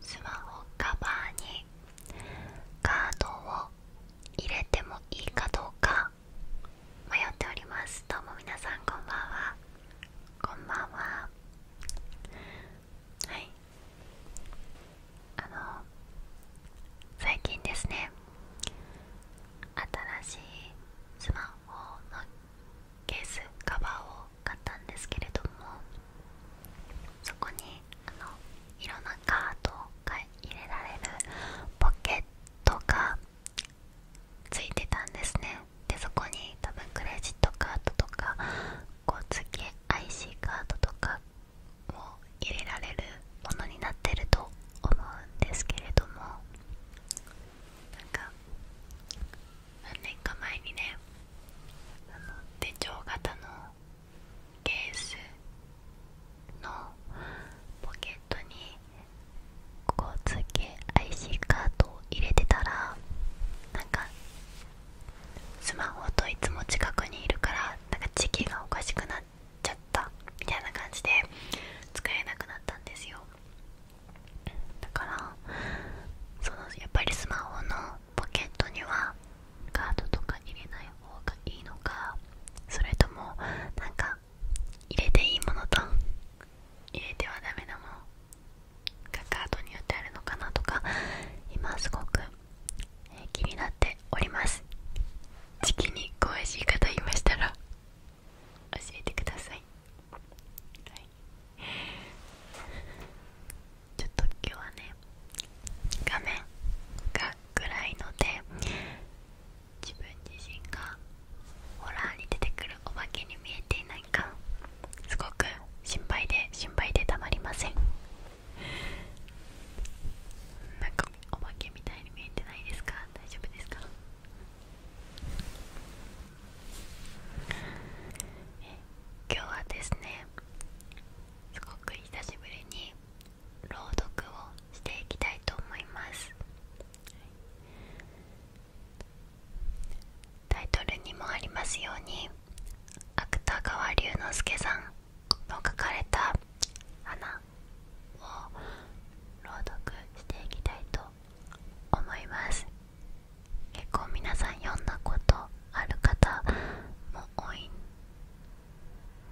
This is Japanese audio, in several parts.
スマホカバーにカードを入れてもいいかどうか迷っておりますどうも皆さんこんばんはこんばんははいあの最近ですね新しいスマホのケースカバーを買ったんですけれどもそこにあのいんなカードが入れられるポケットがついてたんですねでそこに多分クレジットカードとかこう次 IC カードとかを入れられるものになってると思うんですけれどもなか何年か前にねあの手帳型のケースのポケットにこ交通系 IC カードを入れてたらなんかスマホといつも近くにいるからなんか時期がおかしくなっちゃったみたいな感じで使えなくなったんですよだからそのやっぱりスマホのポケットにはカードとか入れない方がいいのかそれともなんか入れていいものと入れてはダメなものがカードによってあるのかなとか今すごく、え気になっております時期に詳しい方いましたら教えてくださいちょっと今日はね画面が暗いので自分自身がホラーに出てくるお化けに見えていないかすごく心配で心配でたまりませんなんかお化けみたいに見えてないですか大丈夫ですか今日はですねすごく久しぶりに朗読をしていきたいと思いますタイトルにもありますように芥川龍之介さんの書かれた「花」を朗読していきたいと思います結構皆さん読んだことある方も多い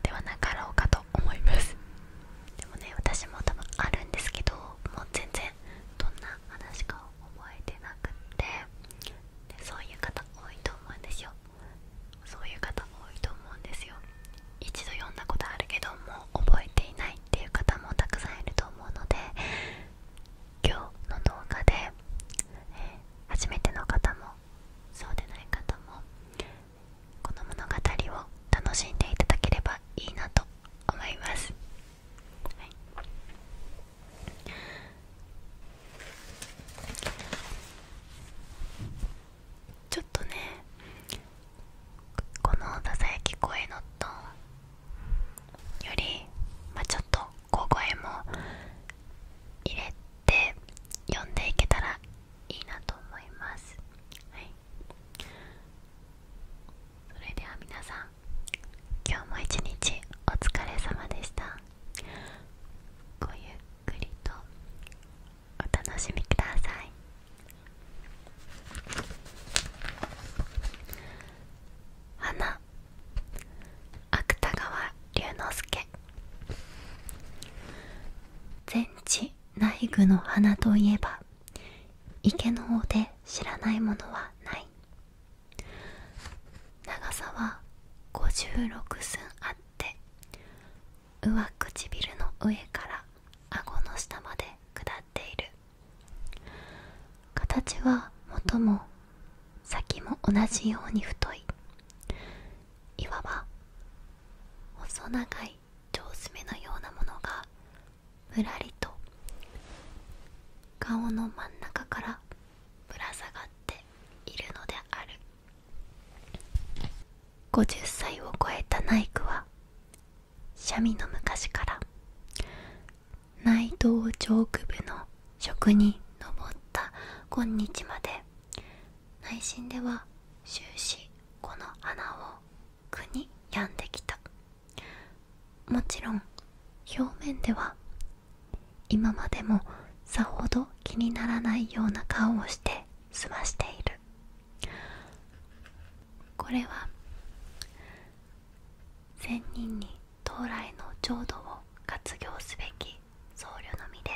ではなかろうかと思いますでもね私も多分あるんですけどもう全然どんな話か覚えてなくってでそういう方多いと思うんですよそういう方多いと思うんですよ一度読んだことあるけどもう覚えていないっていう方もたくさんいると思うので今日の動画で初めての方もそうでない方もこの物語を楽しんでいただければいいなと思います、ちょっとねこのささやき声のトーンより、まあ、ちょっと小声も入れて読んでいけたらいいなと思います、はい、それでは皆さん今日も一日お疲れ様でしたごゆっくりとお楽しみください花芥川龍之介全知内具の花といえば池の尾で知らないものはない長さは56寸あって上唇の上から顎の下まで下っている形は元も先も同じように太いいわば細長い腸詰めのようなものがぶらりと顔の真ん中からぶら下がっているのである50歳を超えたナイクはシャミの昔から内藤上区部の職に上った今日まで内心では終始この穴を苦に病んできたもちろん表面では今までもさほど気にならないような顔をして済ましているこれは仙人に到来の浄土を活用すべき僧侶のみで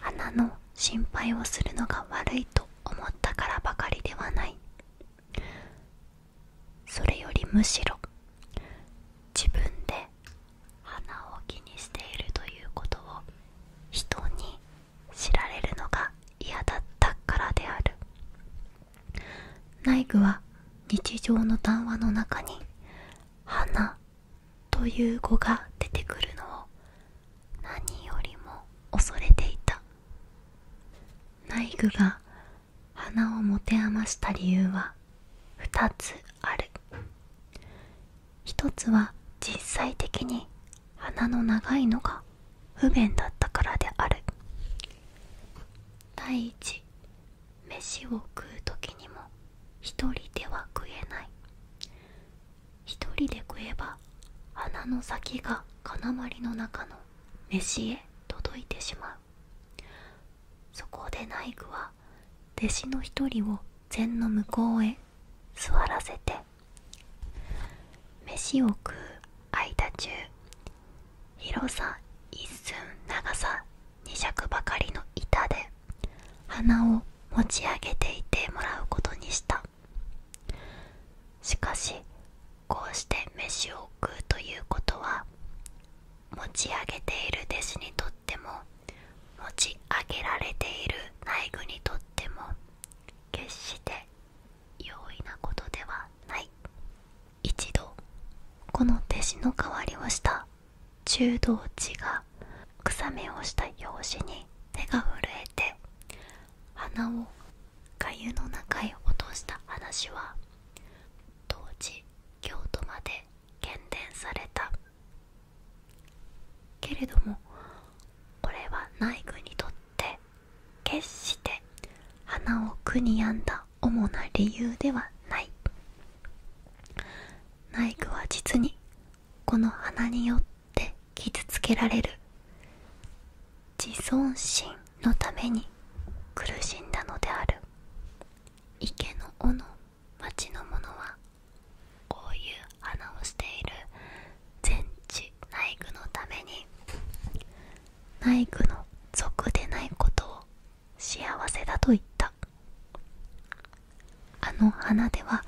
花の心配をするのが悪いと思ったからばかりではないそれよりむしろ自分で花を気にしているということを人に知られるのが嫌だったからである内具は日常の談話の中に「花」という語が出てくるのを何よりも恐れていた内具が花を持て余した理由は2つある1つは実際的に花の長いのが不便だったからである第1。飯を食う時にも一人では食えない一人で食えば鼻の先が金塊の中の飯へ届いてしまうそこで内具は弟子の一人を禅の向こうへ座らせて飯を食う間中広さ一寸長さ2。尺ばかりの板で鼻を持ち上げていてもらうことにしたしかしこうして飯を食うということは持ち上げている弟子にとっても持ち上げられている内部にとっても決して容易なことではない一度この弟子の代わりをした中道地が草めをした拍子に手が震えて花を粥の中へ落とした話は当時京都まで喧伝されたけれどもこれは内具にとって決して花を苦に病んだ主な理由ではない内具は実にこの花によって傷つけられる自尊心のために苦しんだのである池の尾の町の者はこういう花をしている全治内部のために内部の属でないことを幸せだと言ったあの花では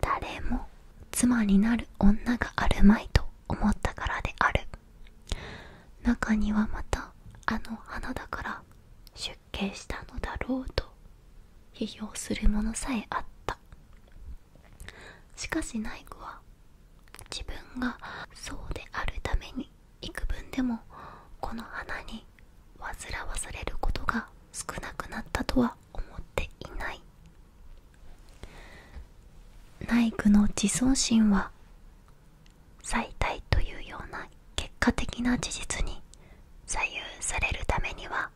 誰も妻になる女があるまいと思ったからである中にはまたあの花だから出家したのだろうと批評するものさえあったしかし内具は自分がそうであるために幾分でもこの花に煩わされることが少なくなったとは思っていないナイ宮の自尊心は最大というような結果的な事実に左右されるためには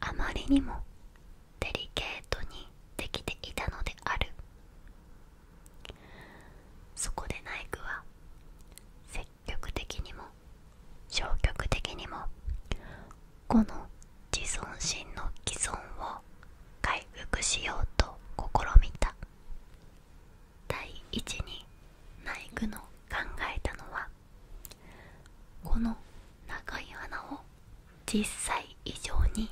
あまりにもデリケートにできていたのであるそこで内イは積極的にも消極的にもこの自尊心の既存を回復しようと試みた第一に内イの考えたのはこの長い鼻を実際以上に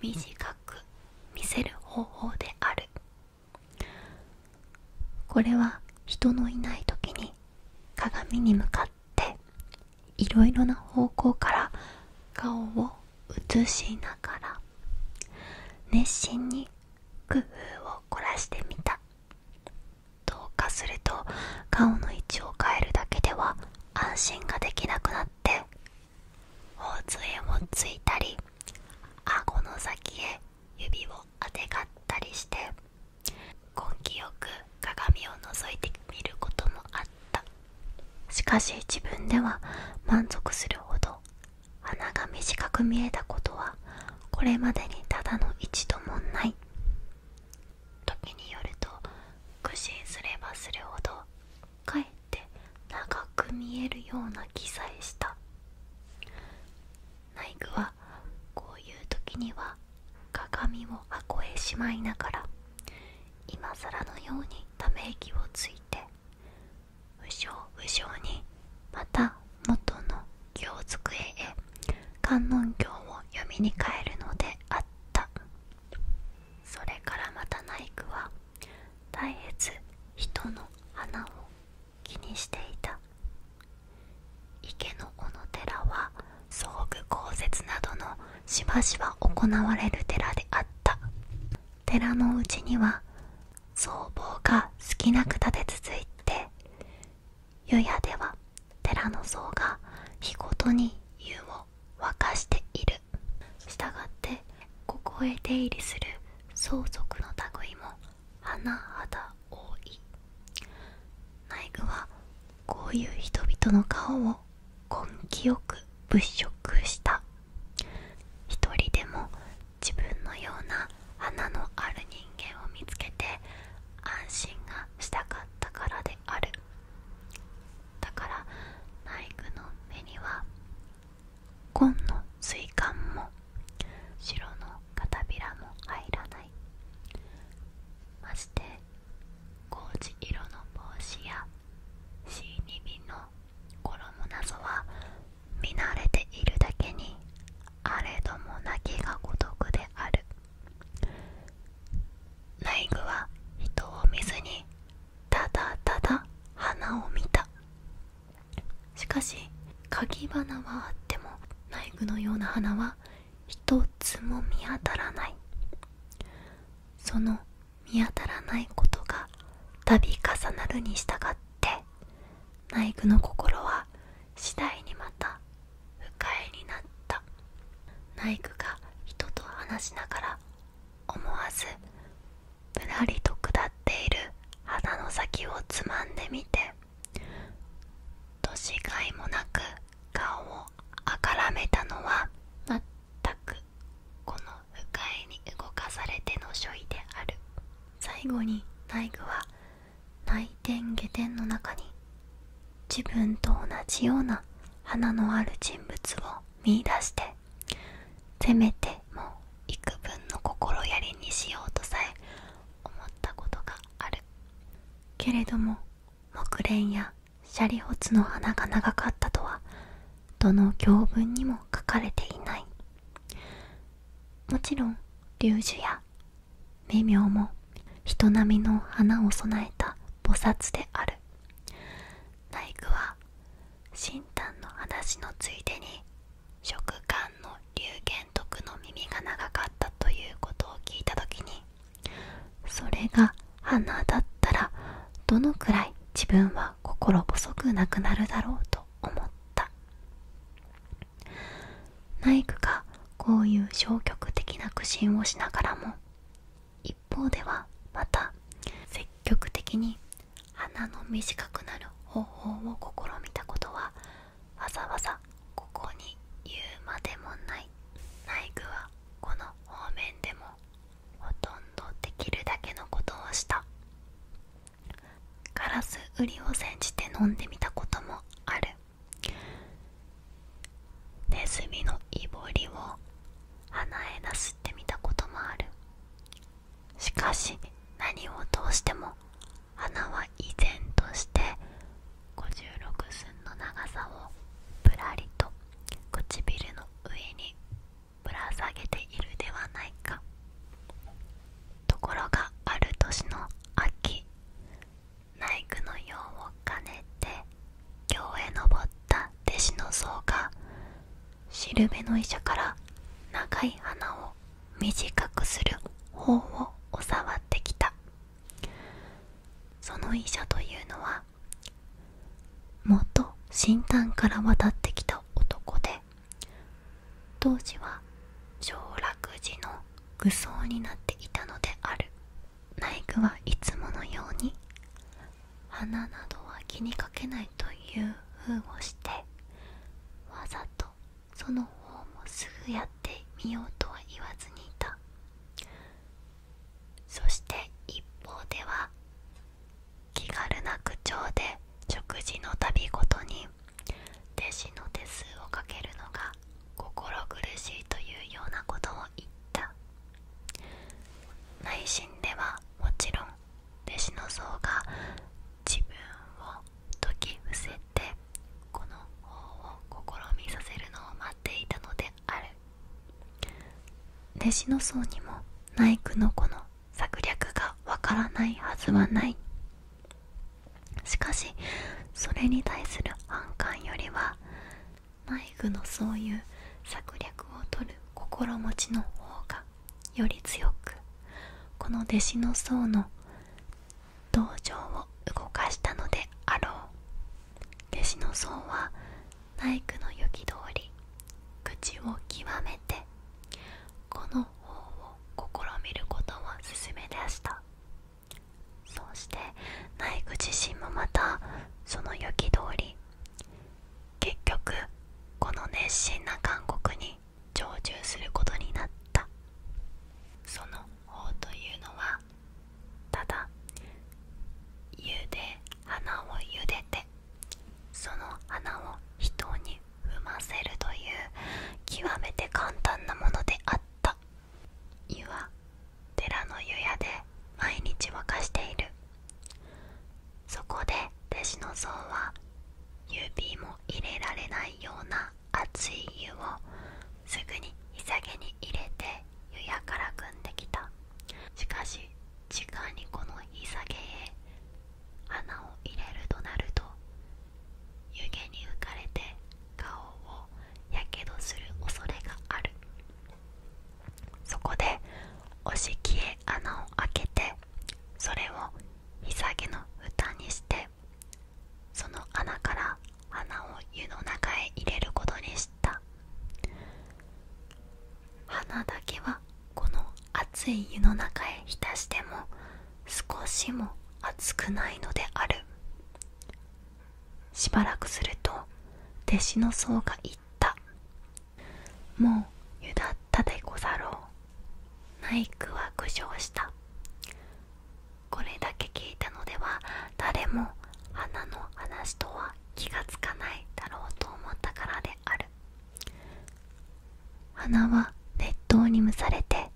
短く見せる方法であるこれは人のいない時に鏡に向かっていろいろな方向から顔を映しながら熱心に工夫を凝らしてみたどうかすると顔の位置を変えるだけでは安心ができなくなって頬杖をついたり顎の先へ指をあてがったりして根気よく鏡を覗いてみることもあったしかし自分では満足するほど鼻が短く見えたことはこれまでにただの一度もない時によると苦心すればするほどかえっっ長く見えるような気さえしたナイグはこういう時には鏡を箱へしまいながら今更のようにため息をついてうしょうにまた元の行机へ観音経を読みに帰るのであったそれからまたナイクは絶えず人の花を気にしていた池の小野寺は葬具公設などのしばしば行われる寺であった寺のうちには僧帽が少なく立て続いて湯屋では寺の僧が日ごとに湯を沸かしているしたがってここへ出入りする相続の類も花肌多い内具はこういう人々の顔を根気よく物色した一人でも自分のような花のある人間を見つけて安心がしたかったからであるだから内具の目には紺の水管も白の片びらも入らないまして工事色の帽子や C2B の衣なぞは見慣れているだけにあれども泣きが孤独である内具は人を見ずにただただ花を見たしかし鍵花はあっても内イのような花は一つも見当たらないその見当たらないことが度重なるに従って内イの心は次第にまた不快になったナイフが人と話しながら思わずぶらりと下っている花の先をつまんでみて年がいもなく顔をあからめたのはまったくこの不快に動かされての処理である最後に内部は内転下転の中に自分と同じような花のある人物を見いだしてせめても幾分の心やりにしようとさえ思ったことがあるけれども木蓮やシャリホツの花が長かったとはどの行文にも書かれていないもちろん龍樹や名名も人並みの花を備えた菩薩である内宮は神丹の話のついでに食官の龍玄徳の耳が長かったということを聞いた時にそれが鼻だったらどのくらい自分は心細くなくなるだろうと思ったイクがこういう消極的な苦心をしながらも一方ではまた積極的に鼻の短くなる方法を試みたことはわざわざここに言うまでもない内具はこの方面でもほとんどできるだけのことをしたガラス売りを煎じて飲んでみたこともあるネズミのいぼりを鼻へなすってみたこともあるしかし何を通しても花は依然として56寸の長さをぶらりと唇の上にぶら下げているではないかところがある年の秋ナイ宮の用を兼ねて京へ登った弟子の僧がしるべの医者から長い鼻を短くする方を教わってきたその医者というのは元新丹から渡ってきた男で当時は上洛寺の愚僧になっていたのである内具はいつものように鼻などは気にかけないというふうをしてわざとその方もすぐやってみようとは言わずにいたそして一方では気軽な口調で食事のたびごとに弟子の手数をかけるのが心苦しいというようなことを言った内心ではもちろん弟子の僧が自分を説き伏せてこの法を試みさせるのを待っていたのである弟子の僧にも内苦の子の策略がわからないはずはないしかしそれに対する反感よりは内苦のそういう策略を取る心持ちの方がより強くこの弟子の僧の道場を動かしたのであろう弟子の僧はナイ宮の行き通り口を極めてこの方を試みることを勧め出したそしてナイ宮自身もまたその行き通り結局この熱心な勧告に常駐することになったその法というのはただ湯で花をゆでてその花を人に踏ませるという極めて簡単なものであった湯は寺の湯屋で毎日沸かしているそこで弟子の像は指も入れられないような熱い湯をすぐに潔に入れて湯屋から汲んできたしかし時間にこのさげへ穴を入れるとなると湯気に浮かれて顔をやけどする恐れがあるそこでおしきへ穴を開けてそれをひさげの蓋にしてその穴から花を湯の中へ入れることにした花だけはこの熱い湯の中へ浸しても少しも熱くないのであるしばらくすると弟子の僧が言ったもうゆだったでござろうイクは苦笑したこれだけ聞いたのでは誰も花の話とは気がつかないだろうと思ったからである花は熱湯に蒸されて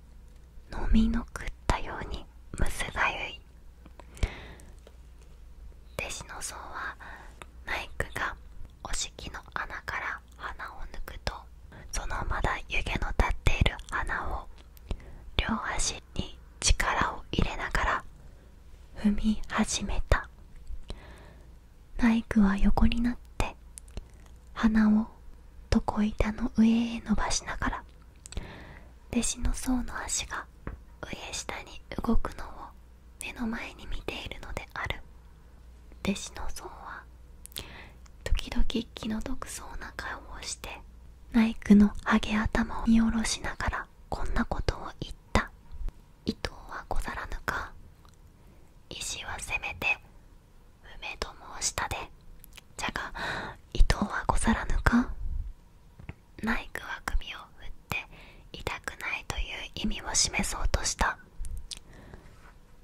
飲みの食ったようにむすがゆい弟子の僧はイクがお式の穴から鼻を抜くとそのまだ湯気の立っている鼻を両足に力を入れながら踏み始めたナイクは横になって鼻を床板の上へ伸ばしながら弟子の層の足が上下に動くのを目の前に見ているのである弟子の僧は時々気の毒そうな顔をしてナイクのハゲ頭を見下ろしながらこんなことを言った伊藤はござらぬか石はせめて梅と申した。でじゃが伊藤はござらぬかナイクは首ををって痛くないという意味を示そうとした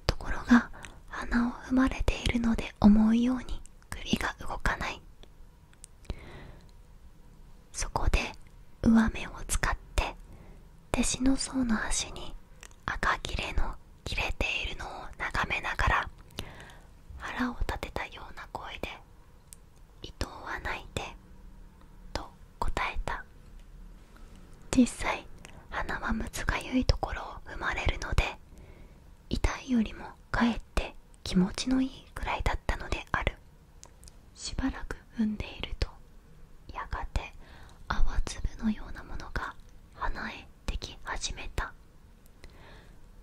ところが鼻を踏まれているので思うように首が動かないそこで上目を使って弟子の層の足に赤切れの切れているのを眺めながら腹を立てたような声で伊藤は泣いてと答えた実際鼻はむつかゆいところを生まれるので痛いよりもかえって気持ちのいいくらいだったのであるしばらく産んでいるとやがて泡粒のようなものが鼻へでき始めた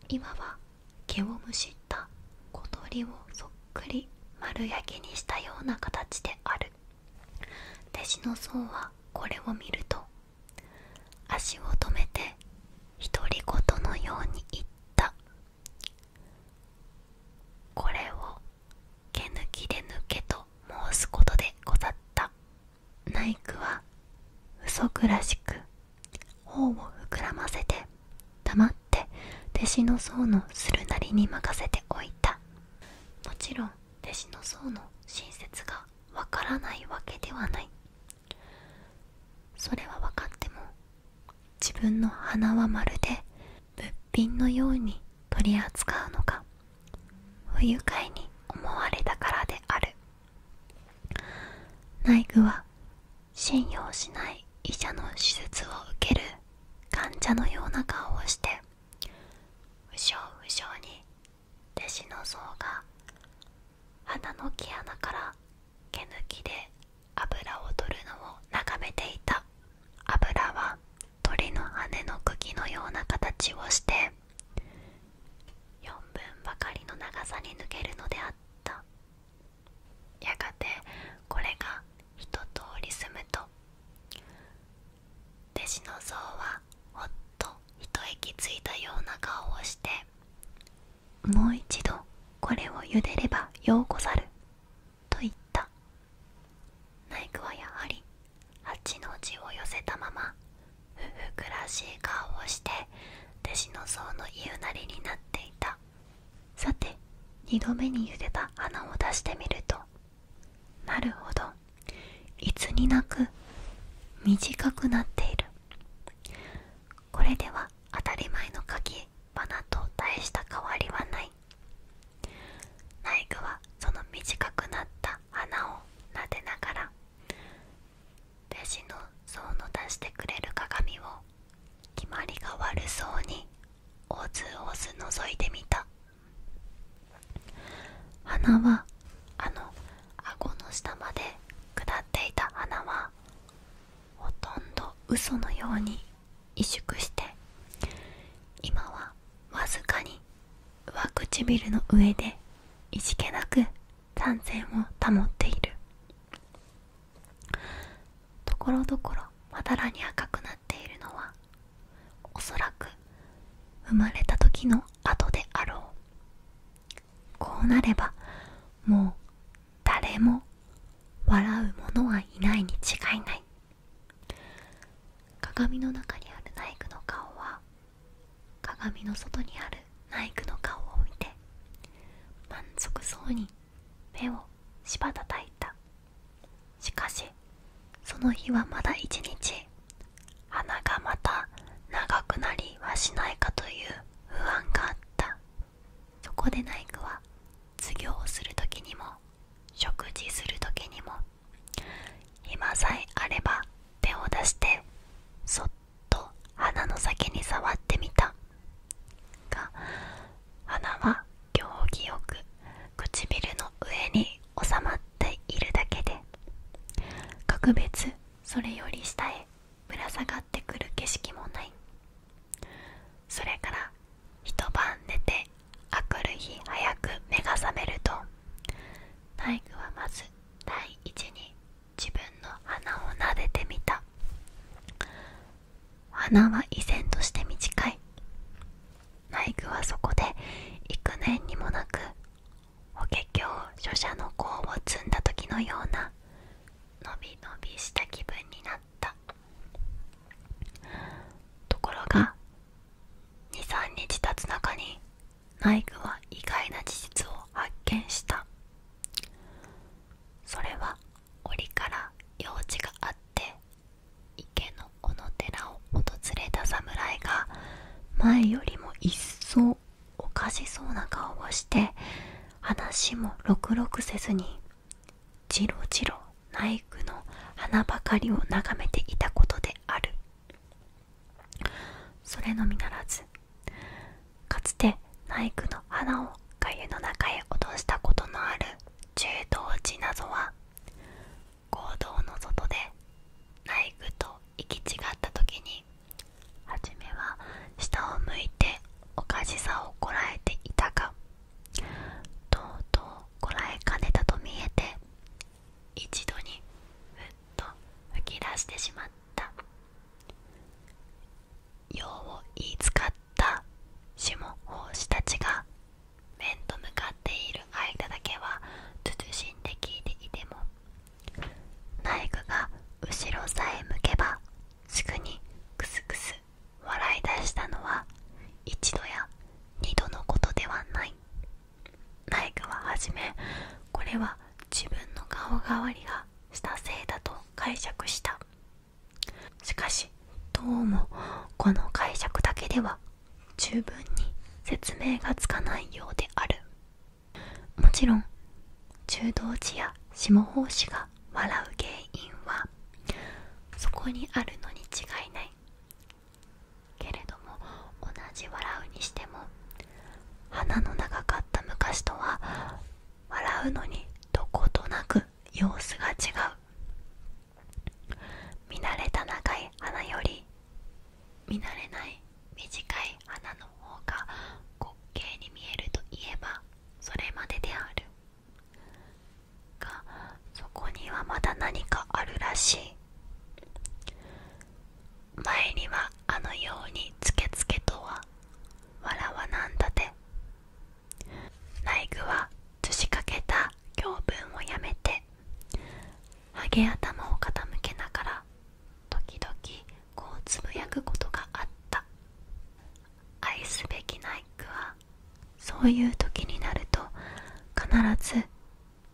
今は毛をむしった小鳥をそっく丸焼きにしたような形である弟子の僧はこれを見ると足を止めて独り言のように言ったこれを毛抜きで抜けと申すことでござったナイクは嘘くらしく頬を膨らませて黙っっ弟子の僧のするなりに任せておいたもちろん弟子の僧の親切がわからないわけではないそれは分かっても自分の鼻はまるで物品のように取り扱うのが不愉快に思われたからである内部は信用しない医者の手術を受ける患者のような顔をしてうしょううしょうに弟子の像が鼻の毛穴から毛抜きで油を取るのを眺めていた油は鳥の羽の茎のような形をして4分ばかりの長さに抜けるのであったやがてこれが一通り済むと弟子の像はほっと一息ついたような顔をして「もう一度これをゆでればようござる」と言ったナイ宮はやはり八の字を寄せたままふふくらしい顔をして弟子の像の言うなりになっていたさて2度目にゆでた花を出してみるとなるほどいつになく短くなっているこれでは当たり前の鍵花と大した変わりはないナイ具はその短くなった花を撫でながら弟子の層の出してくれる鏡を決まりが悪そうにオズオずのぞいてみた鼻はあの顎の下まで下っていた鼻はほとんど嘘のように萎縮して今はわずかに上唇の上でいじけなく三線を保っているところどころまだらに赤くなった。ているのはおそらく生まれた時の後であろうこうなればもう誰も笑う者はいないに違いない鏡の中にあるナイクの顔は鏡の外にあるナイクの顔を見て満足そうに目をしばたたいたしかしその日はまだ1日鼻がまた長くなりはしないかという不安があったそこでナイクは授業をする時にも食事する時にも今さえあれば手を出してそっと鼻の先に触ってみたが鼻は行儀よく唇の上に収まっているだけで格別それより下へぶら下がってくる景色もないそれから一晩寝て明くる日早く目が覚めると体育はまず第一に自分の鼻を撫でてみた花は依然として短い内具はそこで幾年にもなく法華経書者の功を積んだ時のようなのびのびした気分になったところが23日経つ中に内具は意外な事実を発見したそれは折から用事があって池の小野寺を訪れた侍が前よりも一層おかしそうな顔をして話もろくろくせずにジロジロナイ宮の花ばかりを眺めていたことであるそれのみならずかつてナイ宮の花をが湯の中へ落としたことのある中道寺謎は合同の外で内具と行き違った時に初めは下を向いておかしさをこらえていたがとうとうこらえかねたと見えて一度にふっと吹き出してしまった用を言い使っった種も胞子たちが面と向かっている間だけは謹んで聞いていてもナイフが後ろさえ向けばすぐにクスクス笑い出したのは一度や二度のことではないナイフははじめこれは自分の顔代わりがしたせいだと解釈したしかしどうもこの解釈だけでは十分に説明がつかないようであるもちろん中道寺や下法師が笑う原因はそこにあるのに違いないけれども同じ笑うにしても花の長かった昔とは笑うのにどことなく様子が違う見慣れた長い花より見慣れない短い花の方が滑稽に見えるといえばそれまでであるがそこにはまだ何かあるらしい前にはあのようにつけつけとは笑わなんだてライグは図しかけた行文をやめてハゲ頭を傾けながら時々こうつぶやくことがあった愛すべきナイクはそういう時になると必ず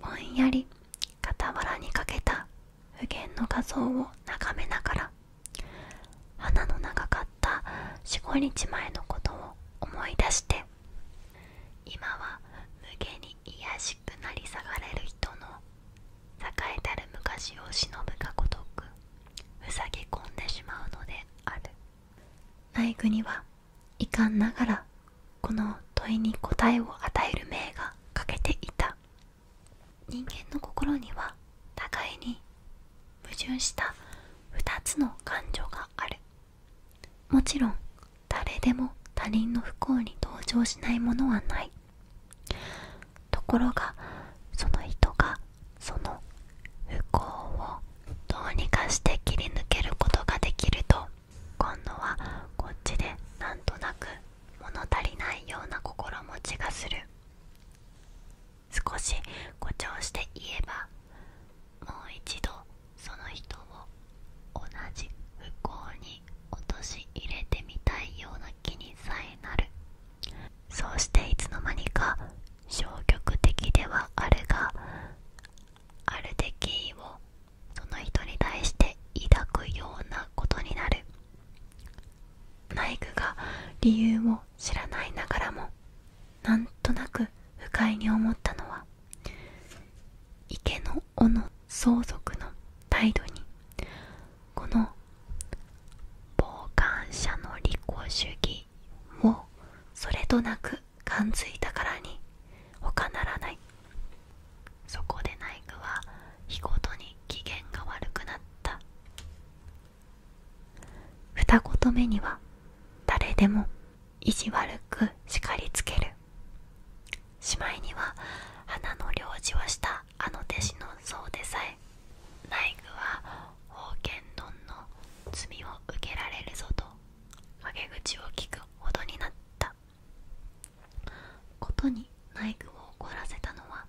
ぼんやり傍らにかけた無限の画像を眺めながら花の長かった45日前のことを思い出して今は無限に卑しくなり下がれる人の栄えたる昔を忍ぶがごとくふさぎ込んでしまうのである内具にはいかんながらこの問いに答えを与える命が欠けていた人間の心には互いに矛盾した2つの感情があるもちろん誰でも他人の不幸に同情しないものはないところがその人がその不幸をどうにかして切り抜けることができると今度はこっちでなんとなく物足りないような心持ちがする少し誇張して言えばもう一度その人を同じ不幸に陥れてみたいような気にさえなるそうしていつの間にか消極的ではあるがあるで敬意をその人に対して抱くようなことになるナイクが理由も知らないながらもなんとなく不快に思ったのは池の尾の相続の態度にこの傍観者の利己主義をそれとなく感づいたからに他ならないそこで内具は日ごとに機嫌が悪くなった二言目には誰でも意地悪く叱りつけるしまいには花の領事をしたあの弟子の僧でさえ内具は宝剣丼の罪を受けられるぞと陰口を聞くほどになったことに内具を怒らせたのは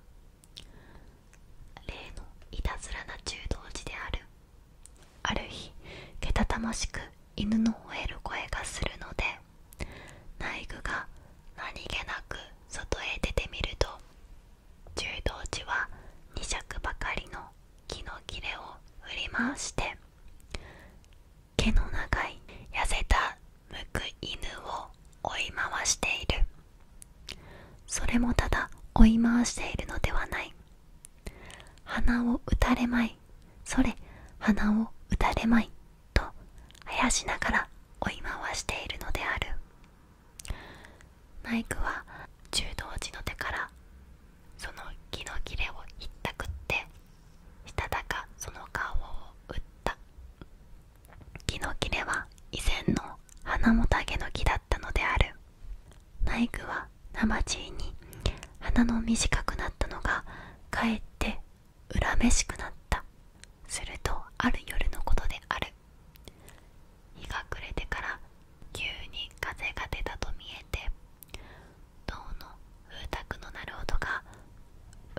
例のいたずらな柔道児であるある日けたたましく犬の吠える声がするので内部が何気なく外へ出てみると柔道時は2尺ばかりの木の切れを振り回して毛の長い痩せたむく犬を追い回しているそれもただ追い回しているのではない鼻を打たれまいそれ鼻を打たれまいとあやしながら追い回しているのであるマイクは柔道児の手からその木の切れを言ったくってしたたかその顔を打った木の切れは以前の花もたげの木だったのであるナイクは生地に鼻の短くなったのがかえって恨めしくなったするとある夜のことである日が暮れてから急に風が出たと見えて銅の風卓の鳴る音が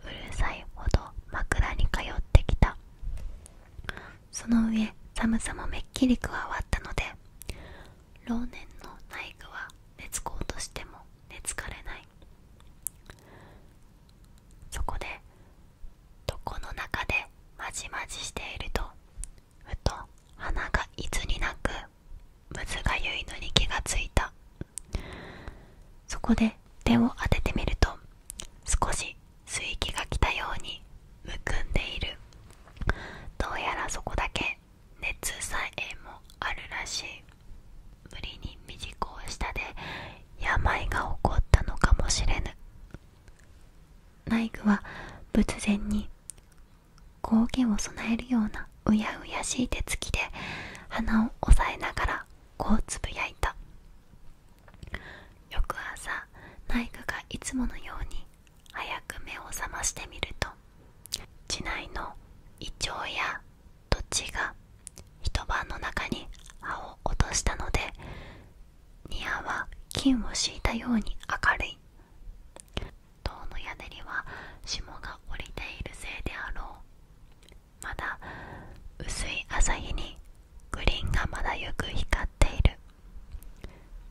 うるさいほど枕に通ってきたその上寒さもめっきり加わったので老年のナイフは寝つこうとしても寝つかれないそこで床の中でまじまじしているとふと鼻がいずになくむずがゆいのに気がついたそこで手を当ててみると少し水域が来たようにむくんでいるどうやらそこだけ熱さえもあるらしい無理に未熟をしたで病が起こったのかもしれぬ内具は仏前に光源を供えるようなうやうやしい手つきで鼻を押さえながらこうつぶやいた翌朝内具がいつものように早く目を覚ましてみると地内の胃腸や土地が一晩の中に葉を落としたので庭は金を敷いたように明るい塔の屋根には霜が降りているせいであろうまだ薄い朝日にグリーンがまだよく光っている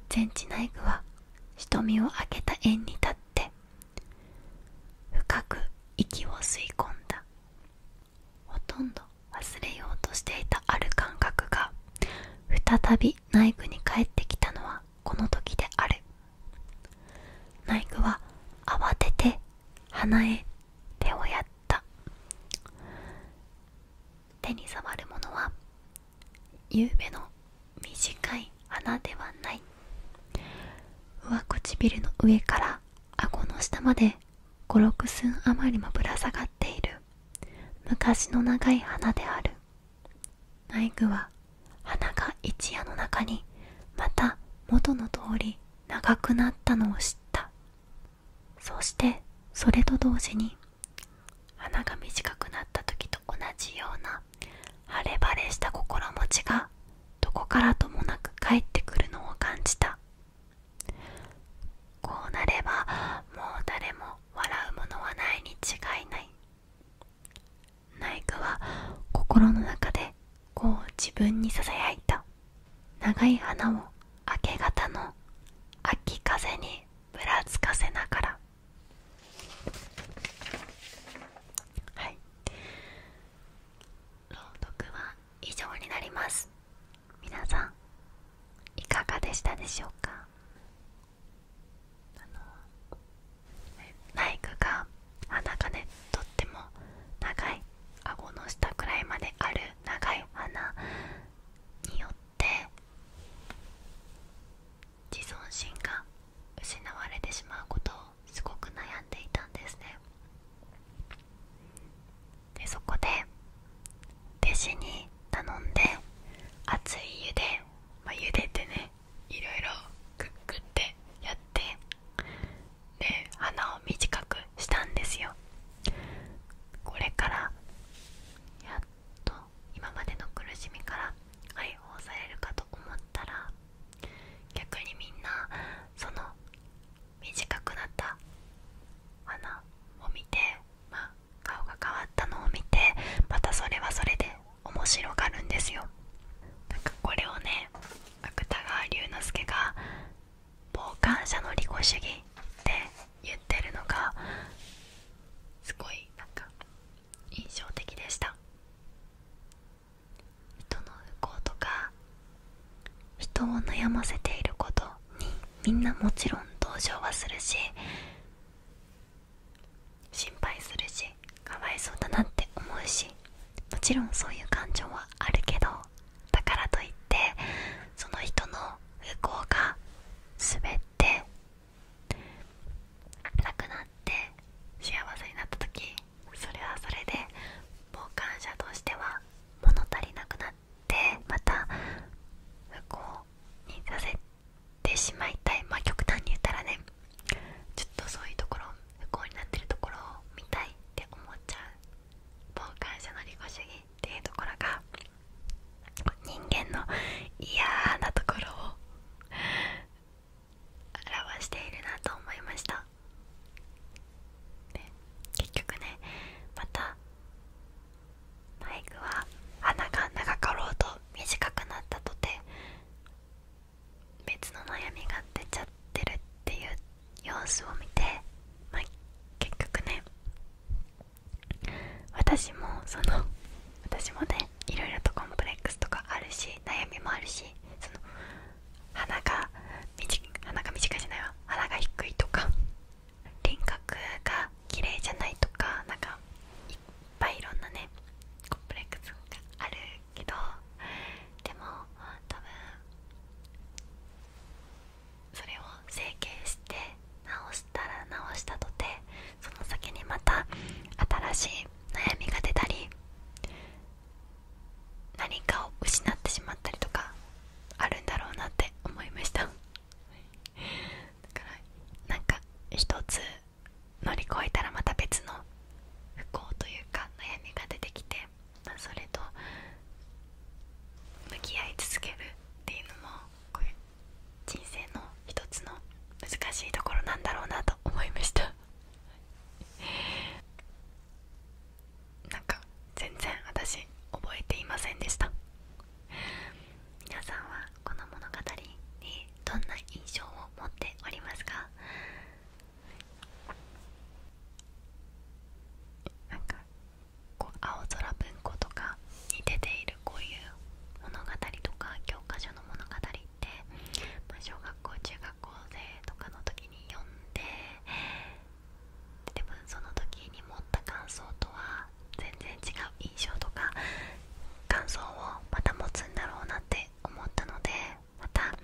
全知内具は瞳を開けた円に立って深く息を吸い込んだほとんど忘れようとしていたある感覚が再び内具に帰ってきたのはこの時である内具は慌てて鼻へ手をやった手に触るものはゆうべの短い花ではない上唇の上から顎の下まで56寸余りもぶら下がっている昔の長い花である内具は花が一夜の中にまた元の通り長くなったのを知ったそしてそれと同時に鼻が短くなった時と同じような晴れ晴れした心持ちがどこからともなく帰ってくるのを感じたこうなればもう誰も笑うものはないに違いないナイ科は心の中でこう自分にささやいた長い花を明け方の秋風にぶらつかせながらはい朗読は以上になります皆さんいかがでしたでしょうかあのマイクが鼻がねとっても長い顎の下くらいまである長い鼻によって自尊心が失われてしまうことをすごく悩んでいたんですねでそこで弟子に頼んで熱い湯で、ま茹でてねいろいろクッグってやってで鼻を短くしたんですよこれからやっと今までの苦しみから解放されるかと思ったら逆にみんなその短くなった穴を見て、まあ、顔が変わったのを見てまたそれはそれで面白がるんですよ。なかこれをね芥川龍之介が「傍観者の利己主義」って言ってるのがすごいなんか印象的でした人の不幸とか人を悩ませていることにみんなもちろん同情はするし心配するしかわいそうだなって思うしもちろんそういう感情はあるけどだからといってその人の不幸が全っ亡くなって幸せになった時それはそれで傍観者としては物足りなくなってまた不幸にさせてしまいたいまあ極端に言ったらねちょっとそういうところ不幸になってるところを見たいって思っちゃう傍観者の利己主義っていうところが人間の嫌なところを 表しているなと思いました、結局ねまたマイクは鼻が長かろうと短くなったとて別の悩みが出ちゃってるっていう様子を見てま結局ね私もその私もねいろいろとコンプレックスとかあるし悩みもあるしその鼻が短鼻が短いじゃないわ鼻が低いとか輪郭が綺麗じゃないとかなんかいっぱいいろんなねコンプレックスがあるけどでも多分それを整形して直したら直したとてその先にまた新しい悩みが出たり何かを失ってしまったりとかあるんだろうなって思いましただからなんか一つ乗り越えたらまた別の不幸というか悩みが出てきて、まそれと向き合い続けるっていうのもこういう人生の一つの難しいところなんだろうなと思いました なんか全然私覚えていませんでした皆さんはこの物語にどんな印象を持っておりますかこう青空文庫とかに出ているこういう物語とか教科書の物語って、ま小学校中学校生とかの時に読んででもその時に持った感想とは全然違う印象とか感想をまた持つんだろうなって思ったのでまたなか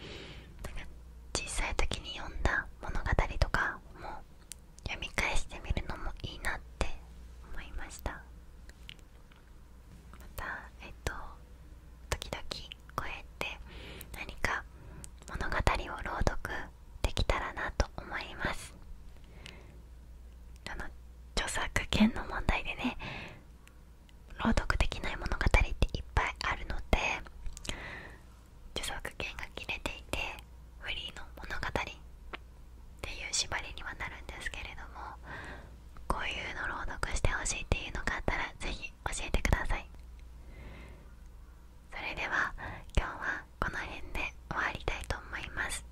小さい時に読んだ物語とかも読み返してみるのもいいなって思いましたまたえっと時々こうやって何か物語を朗読できたらなと思いますあの著作権の問題でね朗読できない物語っていっぱいあるので著作権が切れていてフリーの物語っていう縛りにはなるんですけれどもこういうの朗読してほしいっていうのがあったら是非教えてくださいそれでは今日はこの辺で終わりたいと思います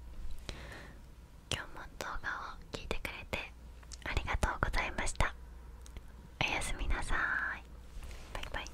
今日も動画を聞いてくれてありがとうございましたおやすみなさいバイバイ